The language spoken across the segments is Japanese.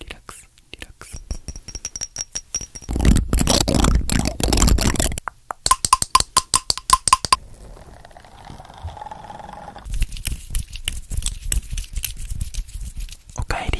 リラックスリラックスおかえり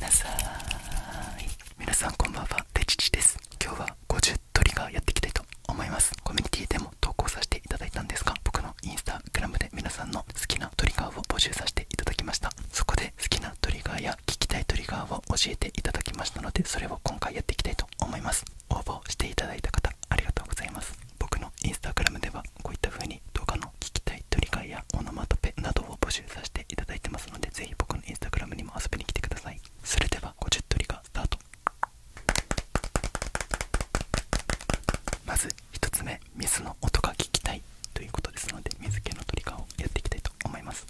なさーい皆さんこんばんはてちちです今日は50トリガーやっていきたいと思いますコミュニティでも投稿させていただいたんですが僕のインスタグラムで皆さんの好きなトリガーを募集させていただきましたそこで好きなトリガーや聞きたいトリガーを教えていただきましたのでそれを今回やっていきたいと思います応募していただいた方ありがとうございます僕のインスタグラムではこういったふうに動画の聞きたいトリガーやオノマトペなどを募集させていただいてますのでぜひ僕のインスタグラムにも遊びに来てくださいそれでは50トリガースタートまず1つ目水の音が聞きたいということですので水気のトリガーをやっていきたいと思います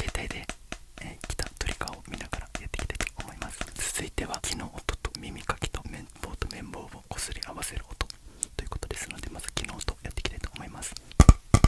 携帯で、えー、来たトリガーを見ながらやっていきたいと思います続いては木の音と耳かきと綿棒と綿棒をこすり合わせる音ということですのでまず木の音やっていきたいと思います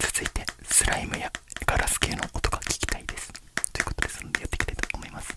続いてスライムやガラス系の音が聞きたいですということですのでやっていきたいと思います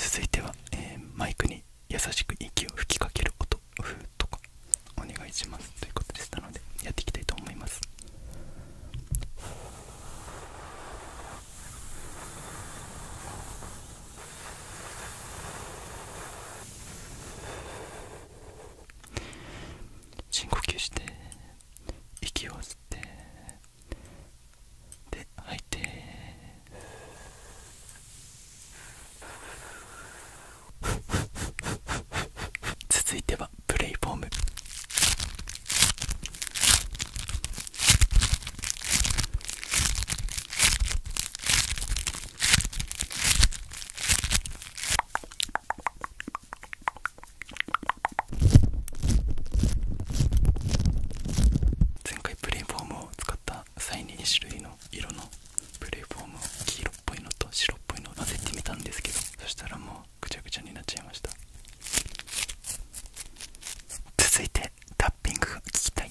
続いてはえー、マイクに優しく息を吹きかける音ふーとかお願いしますということでしたのでやっていきたいと思います深呼吸して息を吸ってで吐いて 続いてはプレイフォーム前回プレイフォームをを使った際に2種類の色のプレーフォームを黄色っぽいのと白っぽいのを混ぜてみたんですけどそしたらもうぐちゃぐちゃになっちゃいました続いてタッピングが聞きたい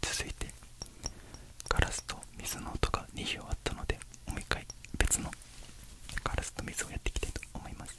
続いてガラスと水の音が2終わったのでもう一回別のガラスと水をやっていきたいと思います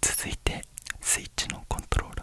続いてスイッチのコントロール。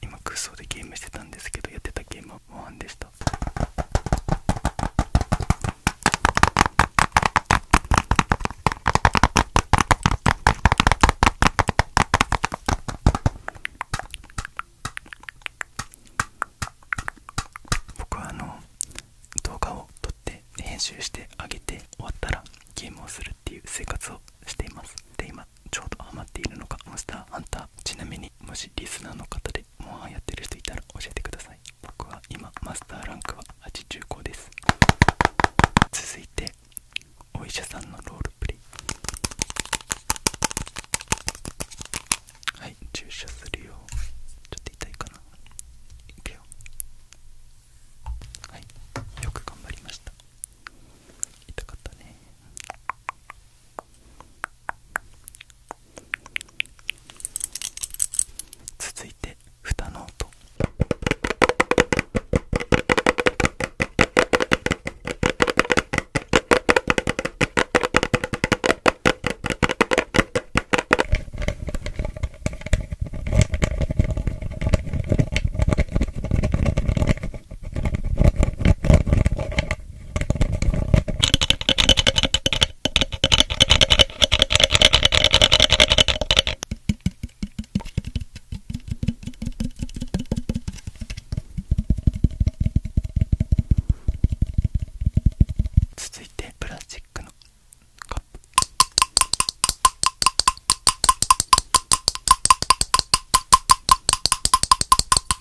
今空想でゲームしてたんですけどやってたゲームはワンでした僕はあの動画を撮って編集してあげて終わったらゲームをするっていう生活をしていますで今ちょうどハマっているのかモスターハンターちなみにもしリスナーの方でモンハンやってる人いたら教えてください僕は今マスターランクは85です続いてお医者さんのロールプレイはい注射するよちょっと痛いかないくよはいよく頑張りました痛かったね続いて蓋の音続いてプラスチックのカップ続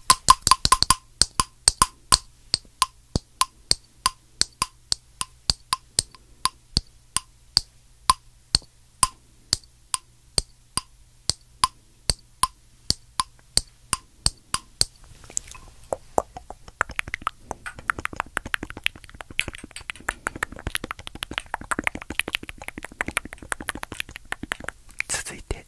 いて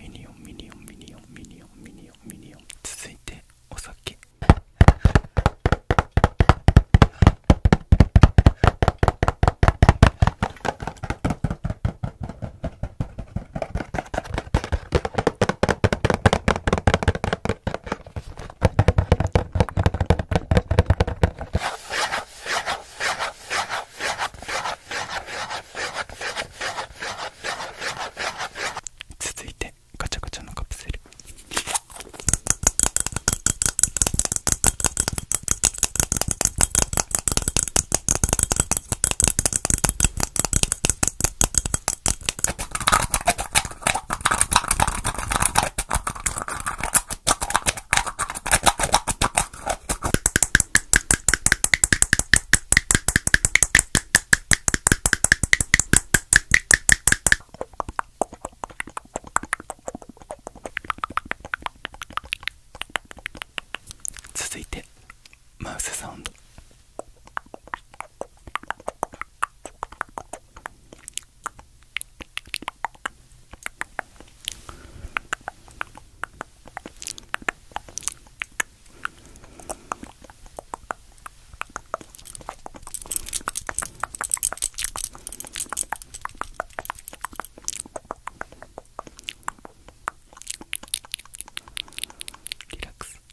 ミニオンミニオンミニオンミニオンミニオンミニオン続いてお酒続いてガチャガチャのカプセル続いてマウスサウンドリラックス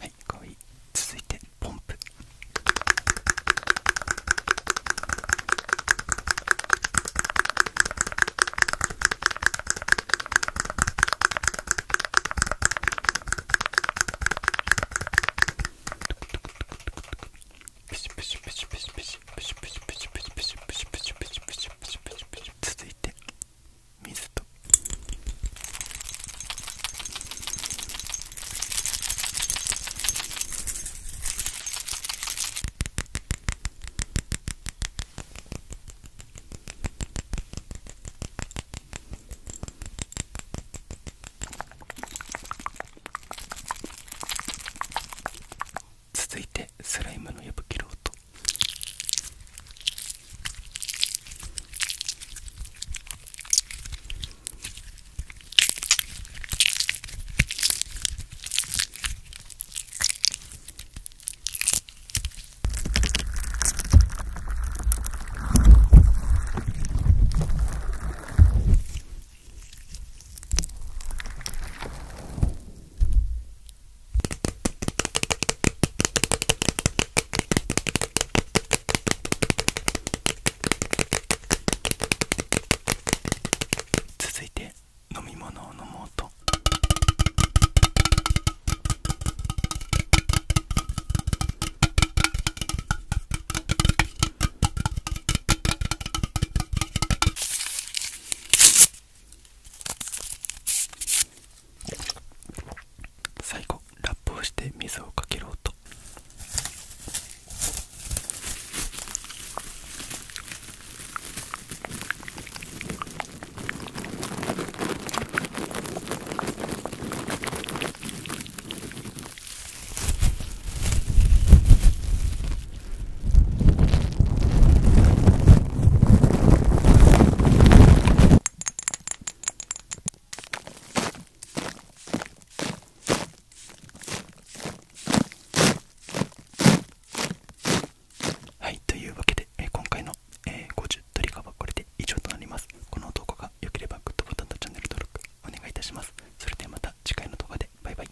はい続いてポンププシュプシュプシュプシュプシュプシュプシュプシュプシュプシュプシュプシュプシュ続いて水と続いてスライムの破ける音続いて飲み物を飲もうと。最後ラップをして水をかける音はいというわけで、今回の、えー、50トリガーはこれで以上となりますこの動画が良ければグッドボタンとチャンネル登録お願いいたしますそれではまた次回の動画でバイバイ